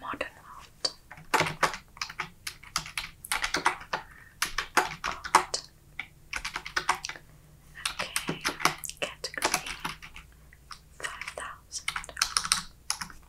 Modern art. Okay, category five thousand.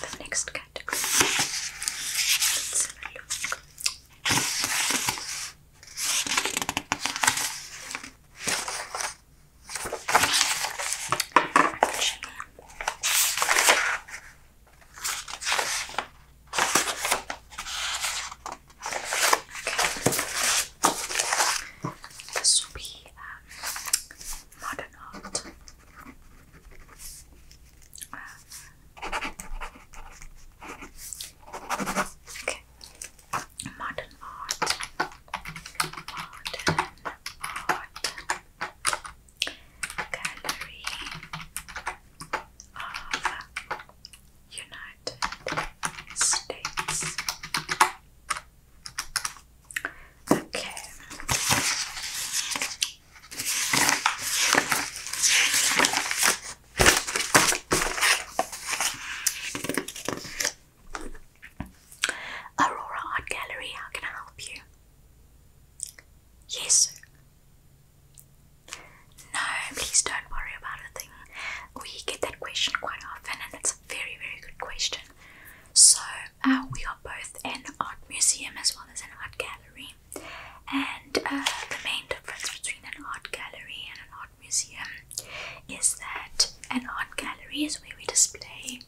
the next category. Let's have a look. Okay. This will be um, modern Modern art. Modern art. Gallery United States. Okay. Aurora Art Gallery, how can I help you? Yes, sir. No, please don't worry about a thing. We get that question quite often, and it's a very, very good question. So, uh, we are both an art museum as well as an art gallery. And uh, the main difference between an art gallery and an art museum is that an art gallery is where we display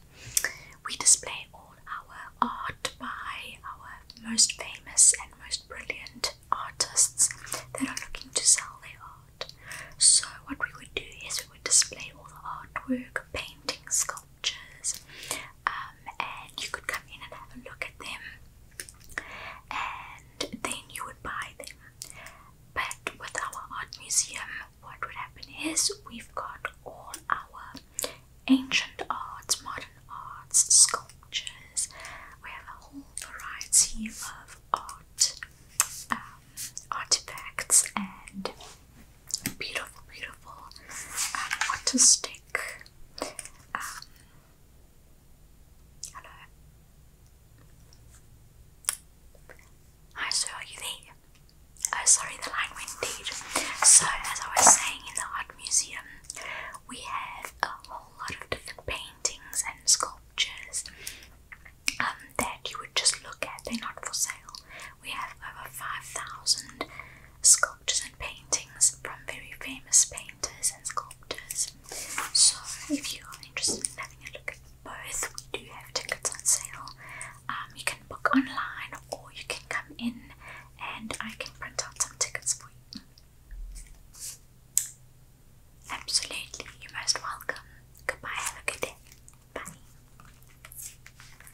we display all our art by our most famous and most brilliant artists that are looking to sell their art. So what we would do is we would display all the artwork, paintings, sculptures, um, and you could come in and have a look at them, and then you would buy them. But with our art museum, what would happen is we've got all our ancient arts, modern arts, sculptures, we have a whole variety of art um, artifacts and beautiful, beautiful um, artistic um, hello. Hi, so are you there? Oh, sorry, the line went So, as I was saying, in the art museum, we have a whole lot of different paintings and sculptures um, that you would just look at. They're not for sale. We have over 5,000 sculptures sculptures and paintings from very famous painters and sculptors. So, if you are interested in having a look both, do have tickets on sale. Um, you can book online or you can come in and I can print out some tickets for you. Absolutely, you're most welcome. Goodbye, have a good day. Bye.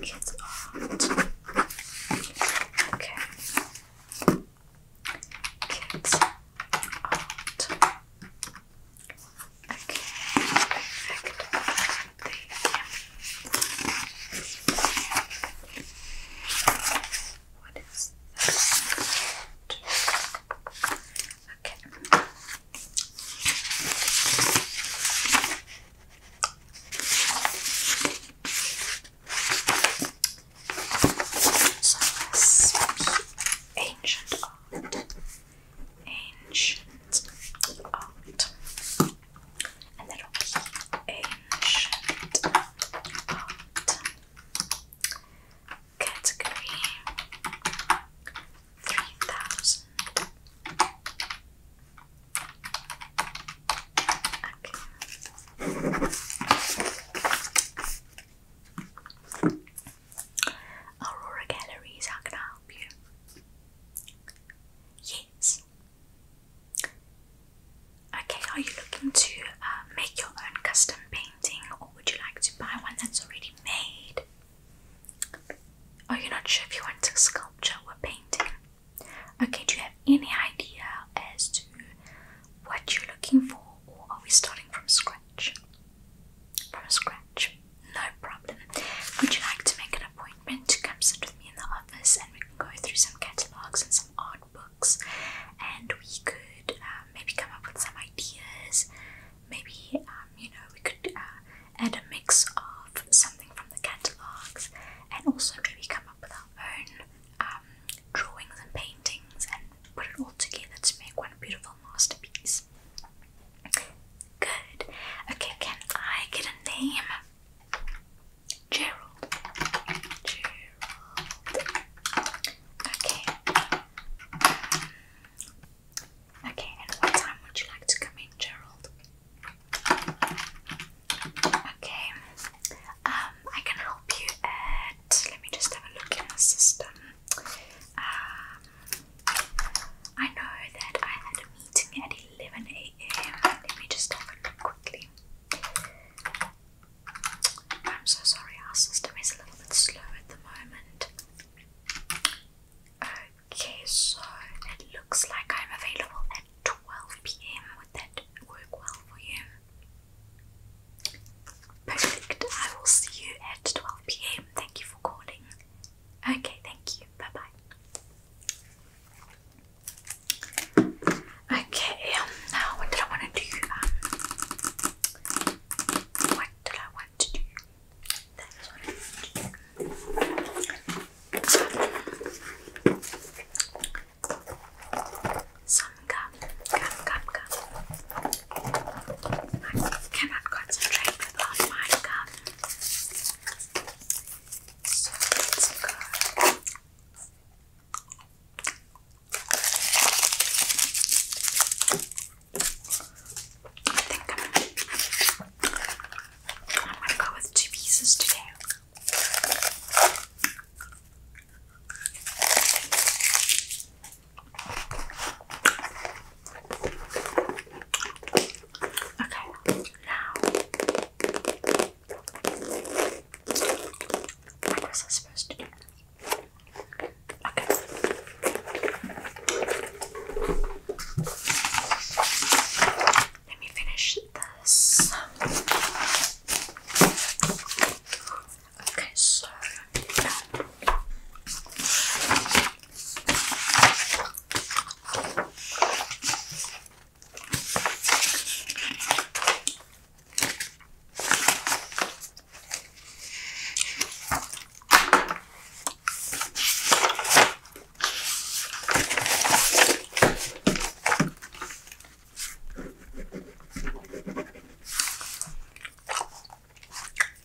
It's art. Okay. Kids art. Okay. What is this? Okay. So ancient art. Ancient art. And that ancient art. Category 3000 Aurora Galleries, how can I help you? Yes. Okay, are you looking to uh, make your own custom painting or would you like to buy one that's already made? Are you not sure if you want to sculpture or painting? Okay, do you have any idea as to what you're looking for, or are we starting from scratch? From scratch, no problem. Would you like to make an appointment to come sit with me in the office and we can go through some catalogues and some art books and we could uh, maybe come up with some ideas? Maybe, um, you know, we could uh, add a mix of something from the catalogs and also maybe come up with our own um, drawings and paintings and put it all together to make one beautiful masterpiece. Good. Okay, can I get a name? Gerald. Gerald. Okay. okay, and what time would you like to come in, Gerald? Okay, um, I can help you at. Let me just have a look in the system. Um, I know that I had a meeting at 11 a.m. Let me just have a look quickly. I'm so sorry, our system is a little bit slow at the moment. Okay, so it looks like I'm available 12 pm. Would that work well for you? Perfect. I will see you at 12 pm. Thank you for calling. Okay, thank you. Bye bye. Okay, um, now um, what did I want to do? what did I want to do. Some gum, gum, gum, gum. concentrate without my gum. So I think I'm gonna go with two pieces today. Okay, now I guess I'm supposed to do Okay. Let me finish this. Okay, so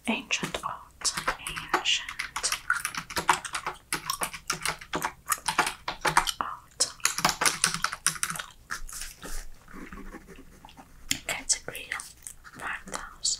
Ancient art, ancient art. Category five thousand.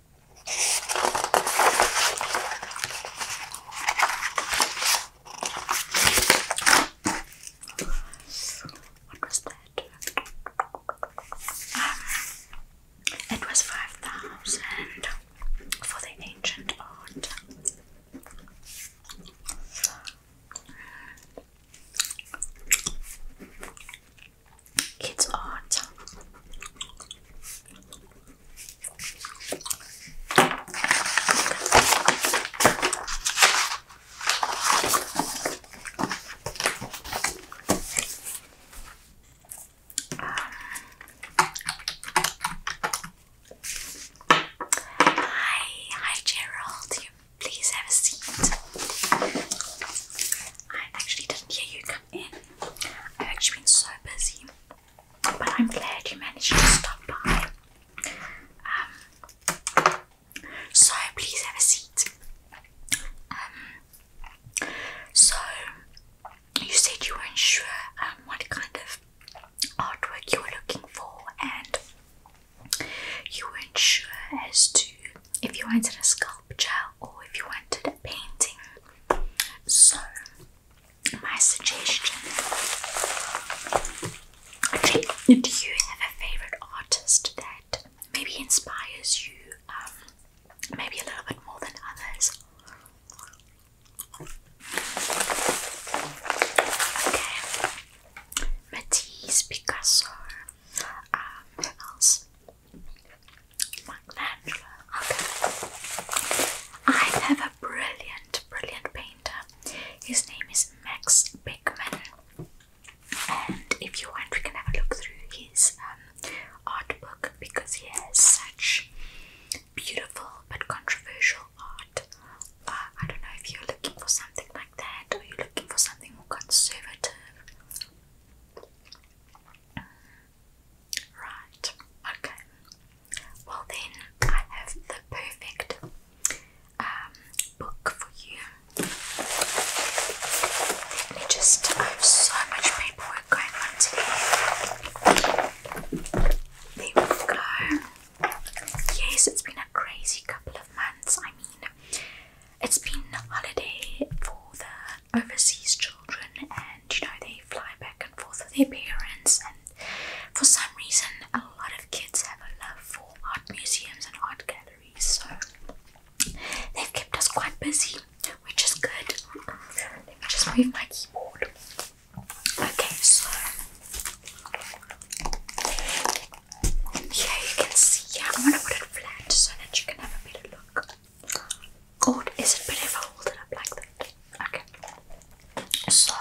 What was that? it was 5,000 for the ancient art. Kids art. Hi, hi Gerald. please have a seat. I actually didn't hear you come in. I've actually been so busy. But I'm glad you managed to stop by. Um, so please have a seat. Um, so you said you weren't sure um, what kind of artwork you were looking for, and you weren't sure as to if you wanted a sculpture or if you wanted a painting. So my suggestion. do you have a favorite artist that maybe inspires you, um, maybe a little bit more than others? Okay, Matisse, Picasso, um, who else? Like Okay. I have a brilliant, brilliant painter. His name is Max Bickman. And if you want, we can have a look through his um, art book because he has such beautiful but controversial art. Uh, I don't know if you're looking for something like that or you're looking for something more conservative. Right, okay. Well, then I have the perfect um, book for you. Let me just, I have so much paperwork going on today. There we go. Yes, it's been a crazy couple of months. I mean, it's been a holiday for the overseas children and you know they fly back and forth with their parents and for some reason a lot of kids have a love for art museums and art galleries so they've kept us quite busy which is good let me just move my keyboard okay so here you can see yeah, I'm gonna put it flat so that you can have a better look God, is it better if I hold it up Okay. So,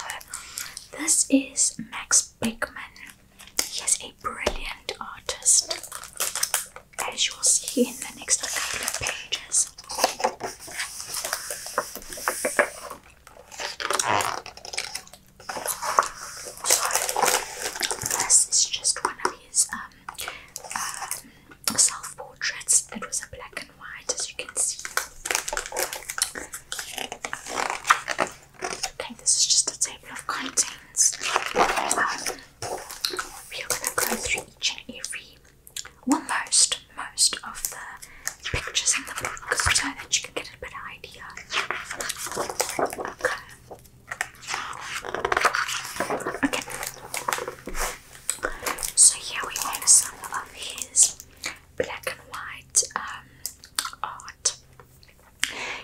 this is Max Beckman. He is a brilliant artist, as you will see in the next couple of pages. So, this is just one of his um, uh, self portraits. It was a black and white, as you can see. Okay, this is just a table of contents. we are gonna go through each and every, well, most, most of the pictures in the book so that you can get a better idea. Okay. Okay. So here we have some of his black and white um, art.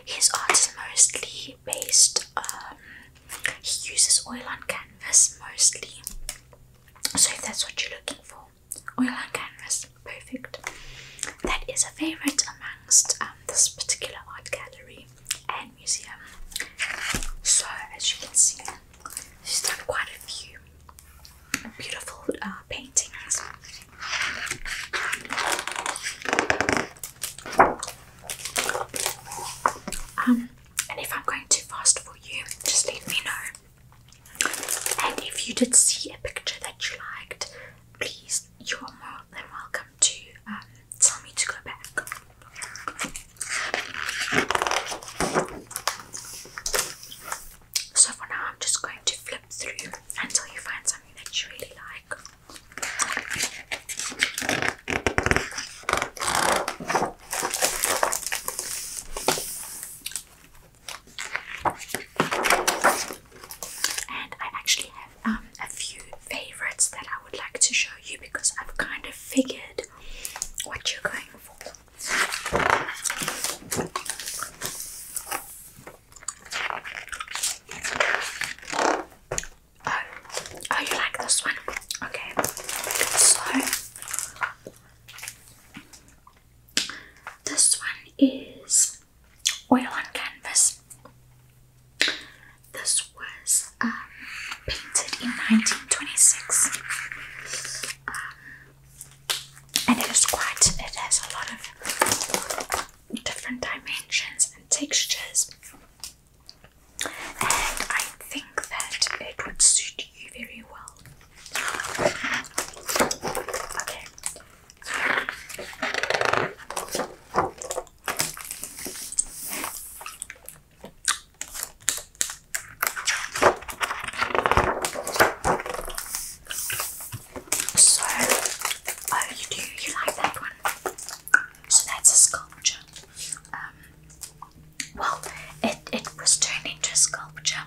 His art is mostly based, um, he uses oil on canvas mostly. So, if that's what you're looking for, oil on canvas, perfect. That is a favorite amongst um, this particular art gallery and museum. So, as you can see, she's done quite a few beautiful uh, paintings. Um, and if I'm going too fast for you, just let me know. And if you did see a picture that you liked, please, you are more than welcome to um, tell me to go back. So for now, I'm just going to flip through until you find something that you really like. And I actually have um, a few favorites that I would like to show you because I've kind of figured what you're going for. Oh, oh, you like this one? Okay, so this one is oil on canvas. This was um, painted in 1926. Um, and it is quite it has a lot of different dimensions and textures and I think that it would suit you very well. Okay. So, oh, you do, you like that one? So that's a sculpture. Um, well, it, it was turned into a sculpture.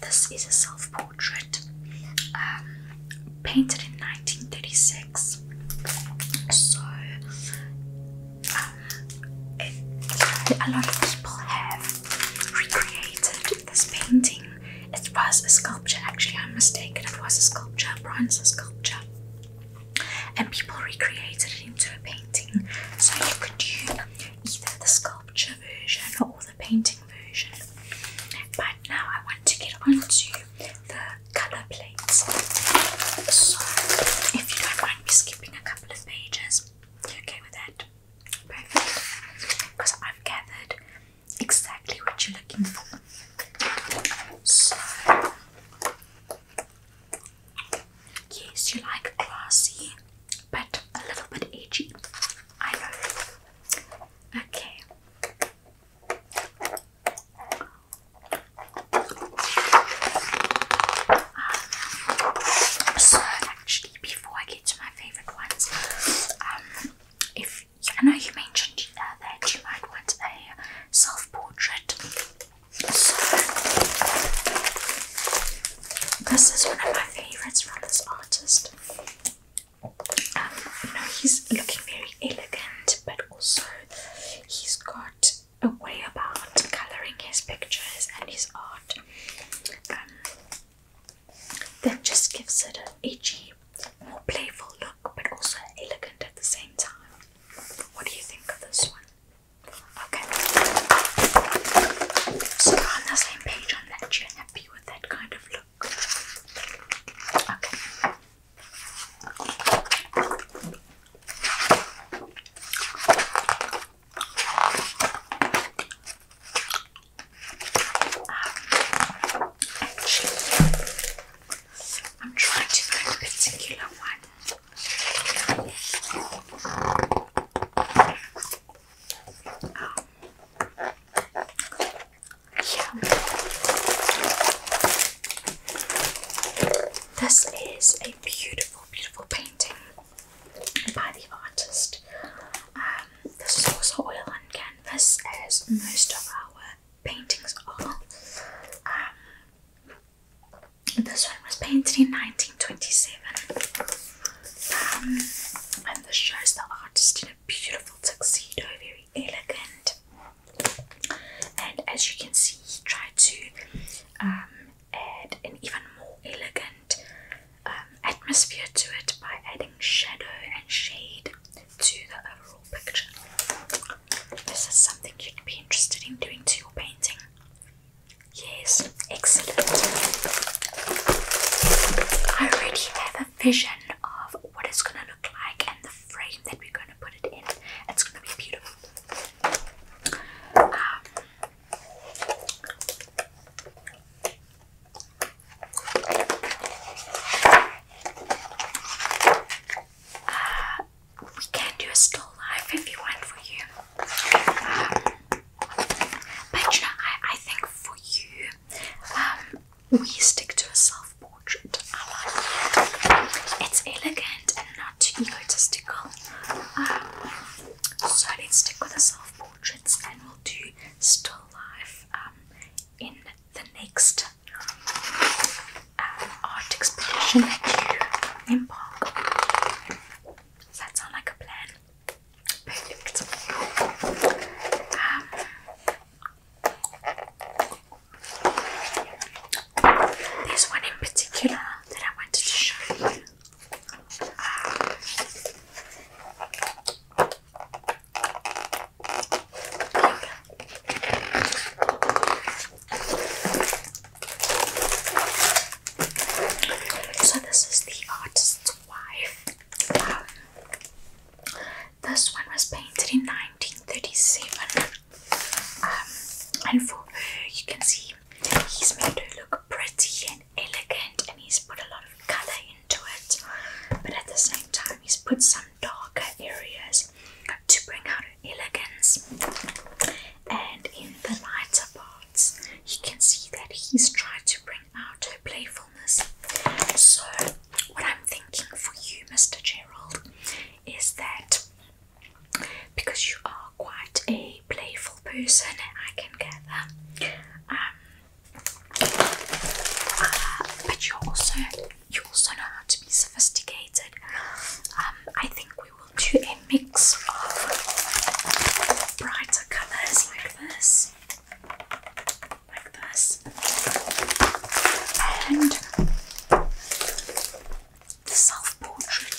This is a self portrait um, painted in 1936. So, um, a lot of people have recreated this painting. It was a sculpture, actually, I'm mistaken. It was a sculpture, bronze sculpture. And people recreated it into a painting. So you could do either the sculpture version or the painting version. But now I want to get onto the colour plates. So if you don't mind me skipping a couple of pages, you okay with that? Perfect. Because I've gathered exactly what you're looking for. So, yes, you like classy, but a little bit edgy. I know. Okay. Um, so, actually, before I get to my my favourite ones. Um, if I know you mentioned uh, that you might want a self-portrait, this is one of my favourites from this artist. Um, you know, he's looking very elegant, but also he's got a way about colouring his pictures and his art. Um, that just gives it an edgy, more playful look, but also elegant at the same time. What do you think of this one? Okay. So we're on the same page on that. You're happy with that kind of look. Okay. I'm trying to find a particular one. Um, yeah. This is a beautiful, beautiful painting by the artist. this is also oil on canvas, as most of our paintings are. Um, this one was painted in 1927, um, and this shows the artist in a beautiful tuxedo, very elegant. And as you can see, he tried to um, add an even more elegant um, atmosphere to it by adding shadow and shade to the overall picture. This is something you'd be interested in doing to your painting. Yes, excellent. I already have a vision of what it's going to look like and the frame that we're going to put it in. It's going to be beautiful. Um, uh, we can do a still life if you want for you. Uh, but you know, I, I think for you, um, we stick to a self portrait. It's elegant and not egotistical. Um, so let's stick with the self portraits and we'll do still life um, in the next um, art expedition that you embark Does that sound like a plan? Um, there's one in particular that I wanted to show you. So, this is the artist's wife. this one was painted in 1937. Um, and for her, you can see he's made her look pretty and elegant, and he's put a lot of color in into it, but at the same time, he's put some darker areas to bring out elegance. And in the lighter parts, you can see that he's tried to bring out her playfulness. So, what I'm thinking for you, Mr. Gerald, is that because you are quite a playful person, I can get that but you also you also know how to be sophisticated. Um, I think we will do a mix of brighter colours like this, like this, and the self portrait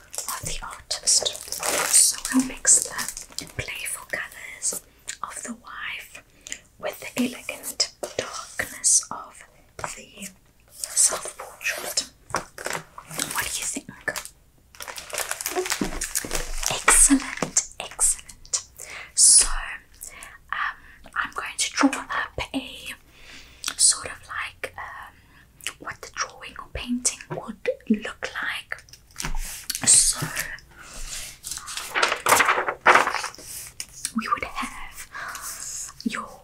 of the artist. So i will mix the playful colours of the wife with the elegant darkness of the self portrait. What do you think? Excellent, excellent. So, um, I'm going to draw up a sort of like um, what the drawing or painting would look like so we would have your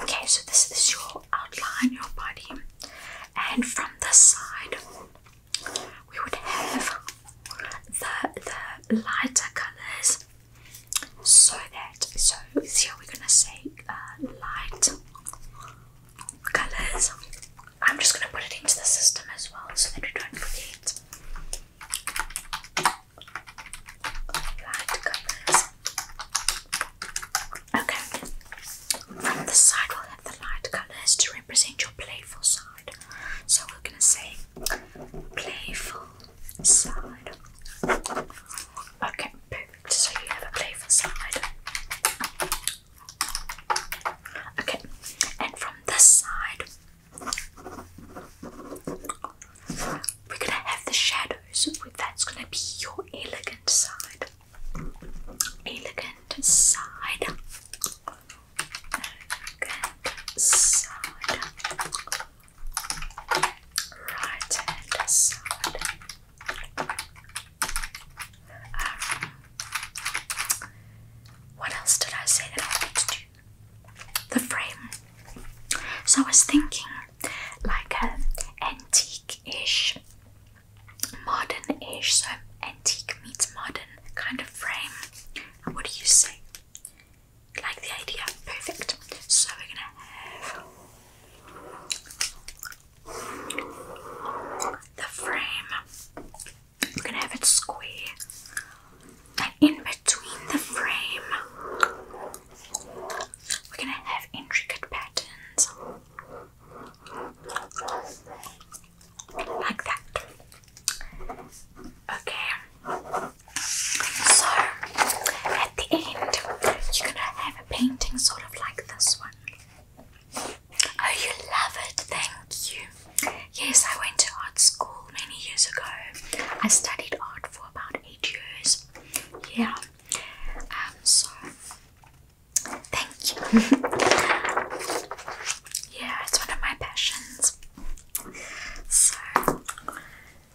okay, so this is your outline, your body, and from this side we would have the the lighter colors so that so here we're gonna say uh, light colors. I'm just gonna put it into the system as well so that we don't forget. Light colors. Okay. From the side we'll have the light colors to represent your playful side. So we're gonna say playful side. Okay, so you have a playful side. Okay, and from this side, we're gonna have the shadows. That's gonna be your elegant side. Elegant side. Elegant side. Right side. Ah. what else did I say that I wanted to do? The frame. So I was thinking like an uh, antique-ish, modern-ish, so antique meets modern kind of frame. what do you say? Like the idea? Perfect. So we're gonna have the frame. We're gonna have it square, and in between the frame, we're gonna have intricate patterns like that. Okay, so at the end, you're gonna have a painting sort of like this one. Oh, you love it, thank you. Yes, I went to art school many years ago. I studied art for about eight years. Yeah. Um, so thank you. yeah, it's one of my passions. So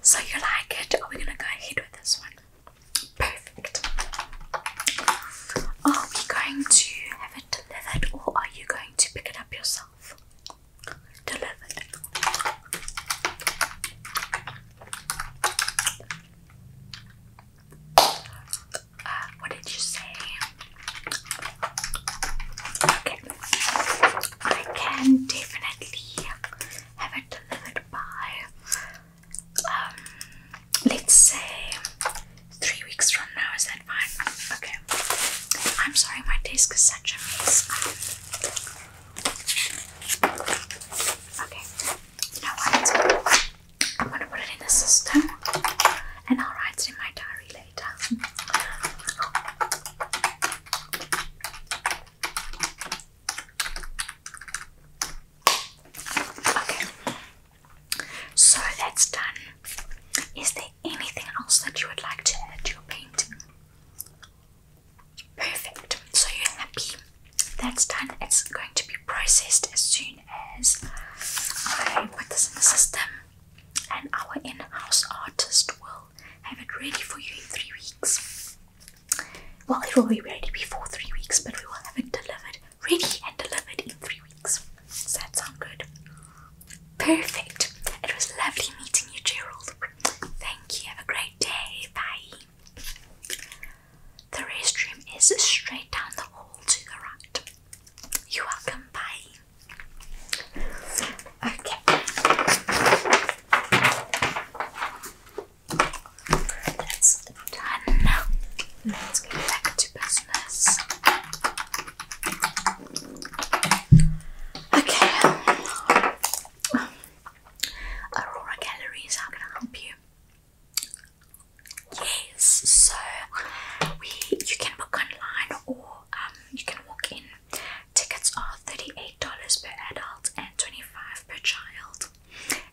so you like it? Are we gonna go ahead with this one? Perfect. Are we going to have it delivered or are you going to pick it up yourself? Delivered. Uh, what did you say? Okay. I can definitely have it delivered by um, let's say three weeks from now. Is that fine? Okay. I'm sorry, my desk is such a mess. Okay. You what? I'm gonna put it in the system, and I'll write it in my diary later. So that's done. Is there anything else that you would like to add to your painting? Perfect. So you're happy. That's done. It's going to be processed as soon as I put this in the system, and our in-house artist will have it ready for you in three weeks. Well, it will be ready before three weeks, but we will have it delivered ready and delivered in three weeks. that sound good? Perfect. It was lovely meeting you, Gerald. Thank you. Have a great day. Bye. The restroom is straight down the hall to the right. You're welcome. Bye. Okay. That's done. Let's get back to business. Okay. Aurora Galleries, how can I help you? Yes, so we you can book online or um, you can walk in. Tickets are $38 per adult and $25 per child,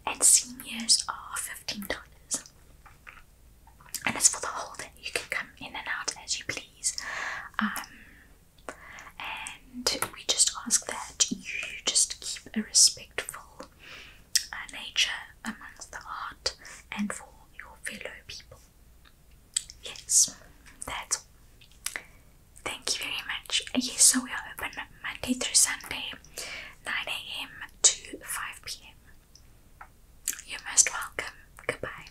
and seniors are $15 and it's for the whole day. You can come in and out as you please. Um, and we just ask that you just keep a respectful uh, nature amongst the art and for your fellow people. Yes, that's Thank you very much. Yes, so we are open Monday through Sunday, 9 a.m. to 5 p.m. You're most welcome. Goodbye.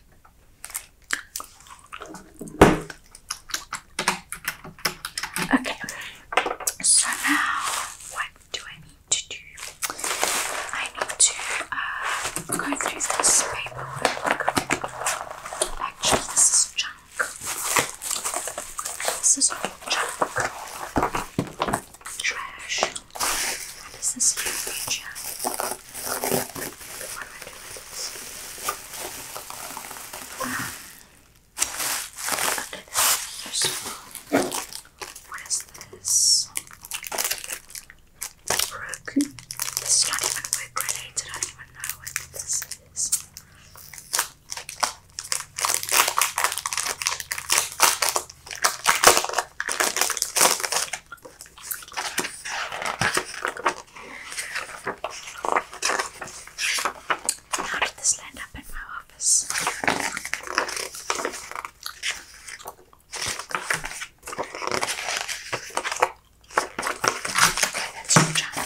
Okay, so now what do I need to do? I need to uh, go through this paperwork. Actually, this is junk. This is all junk trash. What is this What am I doing with this? What is this? This is not even wood grenades. I don't even know what this is. How did this land up in my office? Okay, that's your job.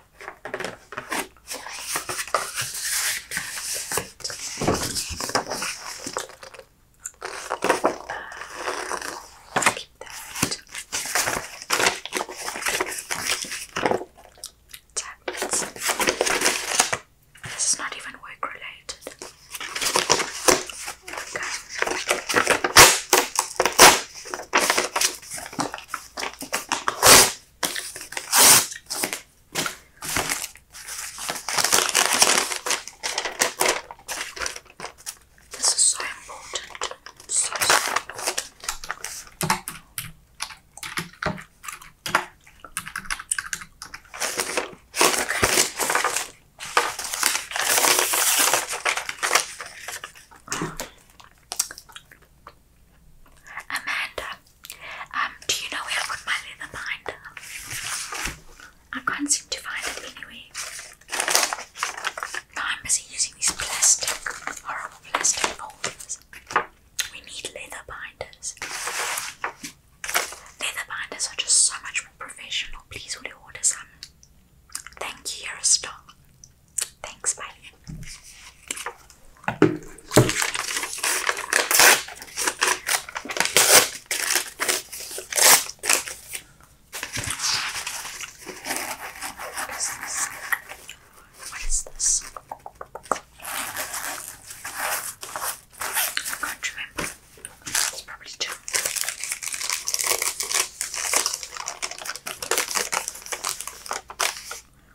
This is not even work related. Okay. This is so important. So, so important. Okay. Amanda, um, do you know where I put my leather binder? I can't seem to find it anywhere. I'm busy using these plastic, horrible plastic folders. We need leather binders. Leather binders are just so much more professional. Please, will you order some? Thank you, you're a star. Thanks, Mike. What is this? I can't remember. It's probably two.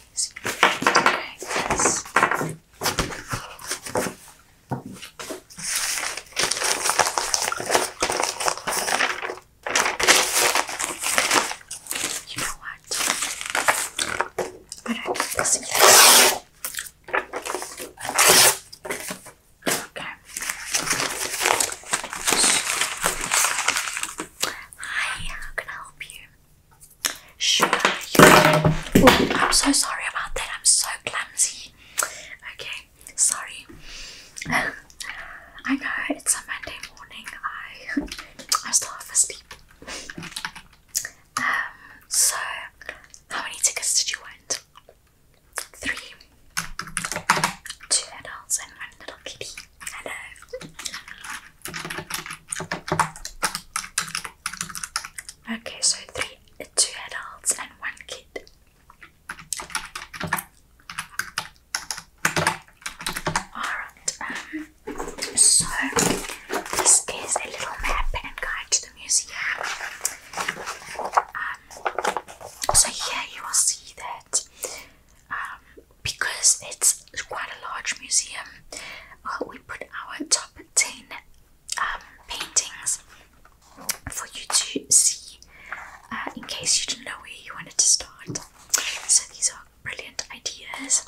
You know what? I don't think this Okay. Hi, how can I help you? I'm so sorry about that. I'm so clumsy. Okay, sorry. I know it's a Monday morning. I I'm still half asleep. Um. So, how many tickets did you want? Three, two adults and one little kitty. Hello. Okay, so three, two adults and one kid. Alright, um, so this is a little map and guide to the museum. Um, so here you will see that um, because it's quite a large museum, uh, we put our top 10 um, paintings for you to see uh, in case you didn't know where you wanted to start. So these are brilliant ideas.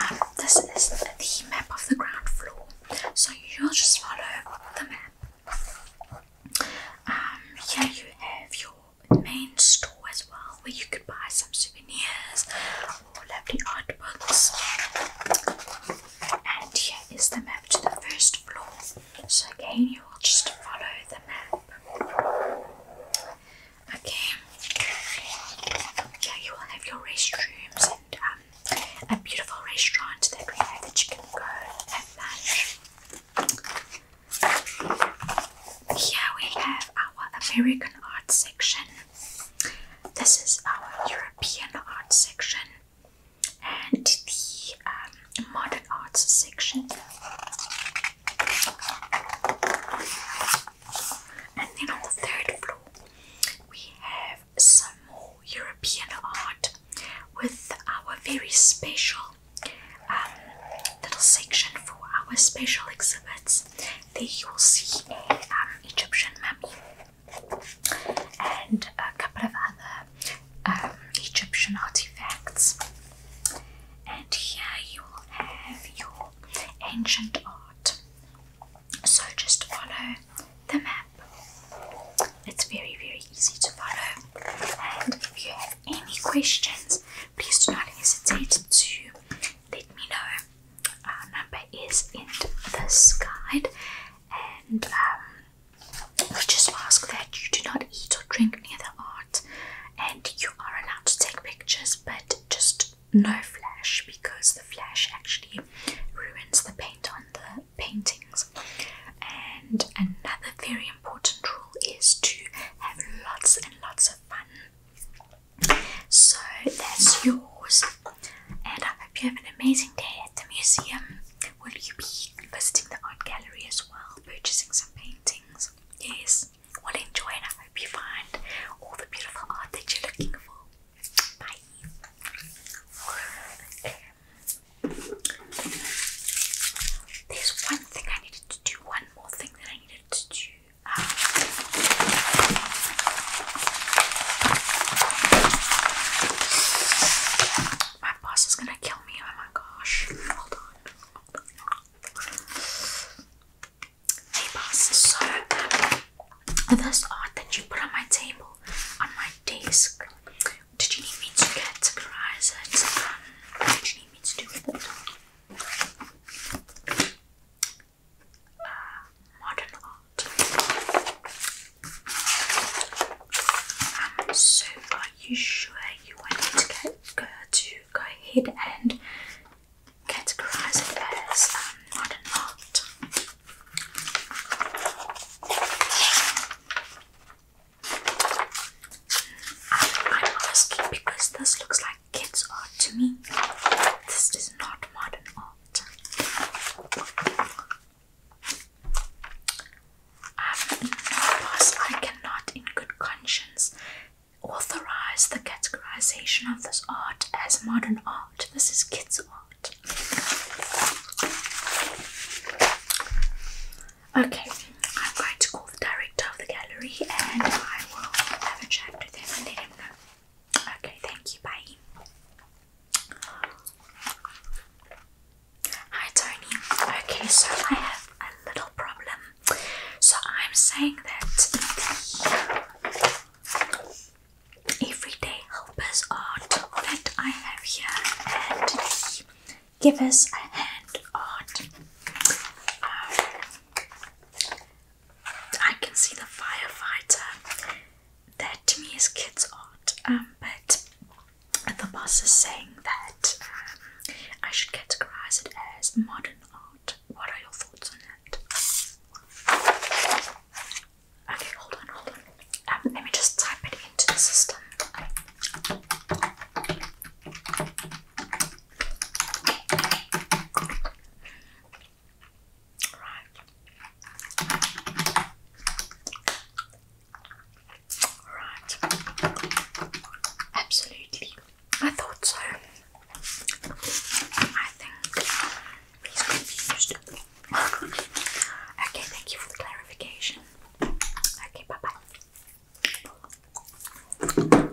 Um, this is the map of the ground floor, so you'll just follow the map. Um, here you have your main store as well where you could buy some souvenirs or lovely art books. And here is the map to the first floor. So again you will just follow the map. Okay. Yeah, you will have your restrooms and um, a beautiful restaurant that we have that you can go and lunch. Here we have our American art section. This is our European art section and the um, modern arts section. And then on the third floor, we have some more European art with our very special um, little section for our special exhibits. There you will see an um, Egyptian mummy and a couple of other um, Egyptian artifacts. And here you will have your ancient art. So just follow the map. It's very, very easy to follow. And if you have any questions, please do not hesitate to let me know. Our number is in this guide, and um, just ask that you do not eat or drink near the art, and you are allowed to take pictures, but just no flash because the flash actually ruins the paint on the paintings. And another very important rule is to have lots and lots of fun so that's yours, and I hope you have an amazing day at the museum. Will you be visiting the art gallery as well, purchasing some paintings? Yes, well, enjoy, and I hope you find all the beautiful art that you're looking for. Bye. There's one thing I needed to do, one more thing that I needed to do. Um, my boss is gonna kill me. Oh my gosh. Hold on. Hold on. Hey boss, so this art that you put on my table, on my desk, did you need me to categorize it? Um, what did you need me to do with it? uh, modern art. so, are you sure you want me to go, to go ahead and categorize it as modern art? I'm asking because this looks like kids art to me. This is not modern art. Um, boss, I cannot, in good conscience, authorize the categorization of this art as modern art. This is kids' art. Okay, I'm going to call the director of the gallery and I will have a chat with him and let him know Okay, thank you. Bye. Hi Tony. Okay, so I have a little problem. So I'm saying that the everyday helpers art that I have here give us a hand art. I can see the firefighter. That to me is kids' art, um, but the boss is saying that um, I should categorize it as modern art. What are your thoughts on that? Okay, hold on, hold on. Um, let me just type it into the system. Right. Absolutely. I thought so. I think he's confused. okay, thank you for the clarification. Okay, bye bye. Okay.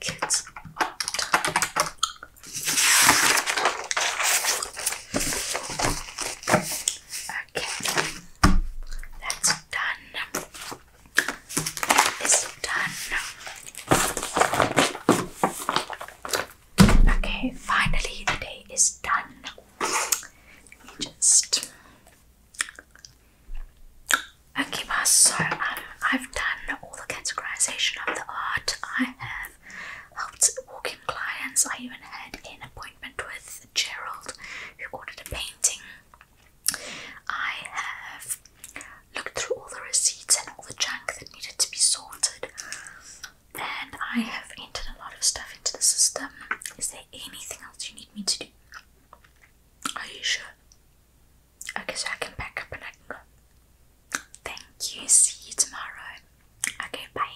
Kids all the time. Okay, that's done. That is done. Okay, finally the day is done. Let me just. Okay, so um, I've done all the categorization of the art. I have helped in clients. I even had in a with Gerald, who ordered a painting. I have looked through all the receipts and all the junk that needed to be sorted, and I have entered a lot of stuff into the system. Is there anything else you need me to do? Are you sure? Okay, so I can back up and I can go. Thank you. See you tomorrow. Okay, bye.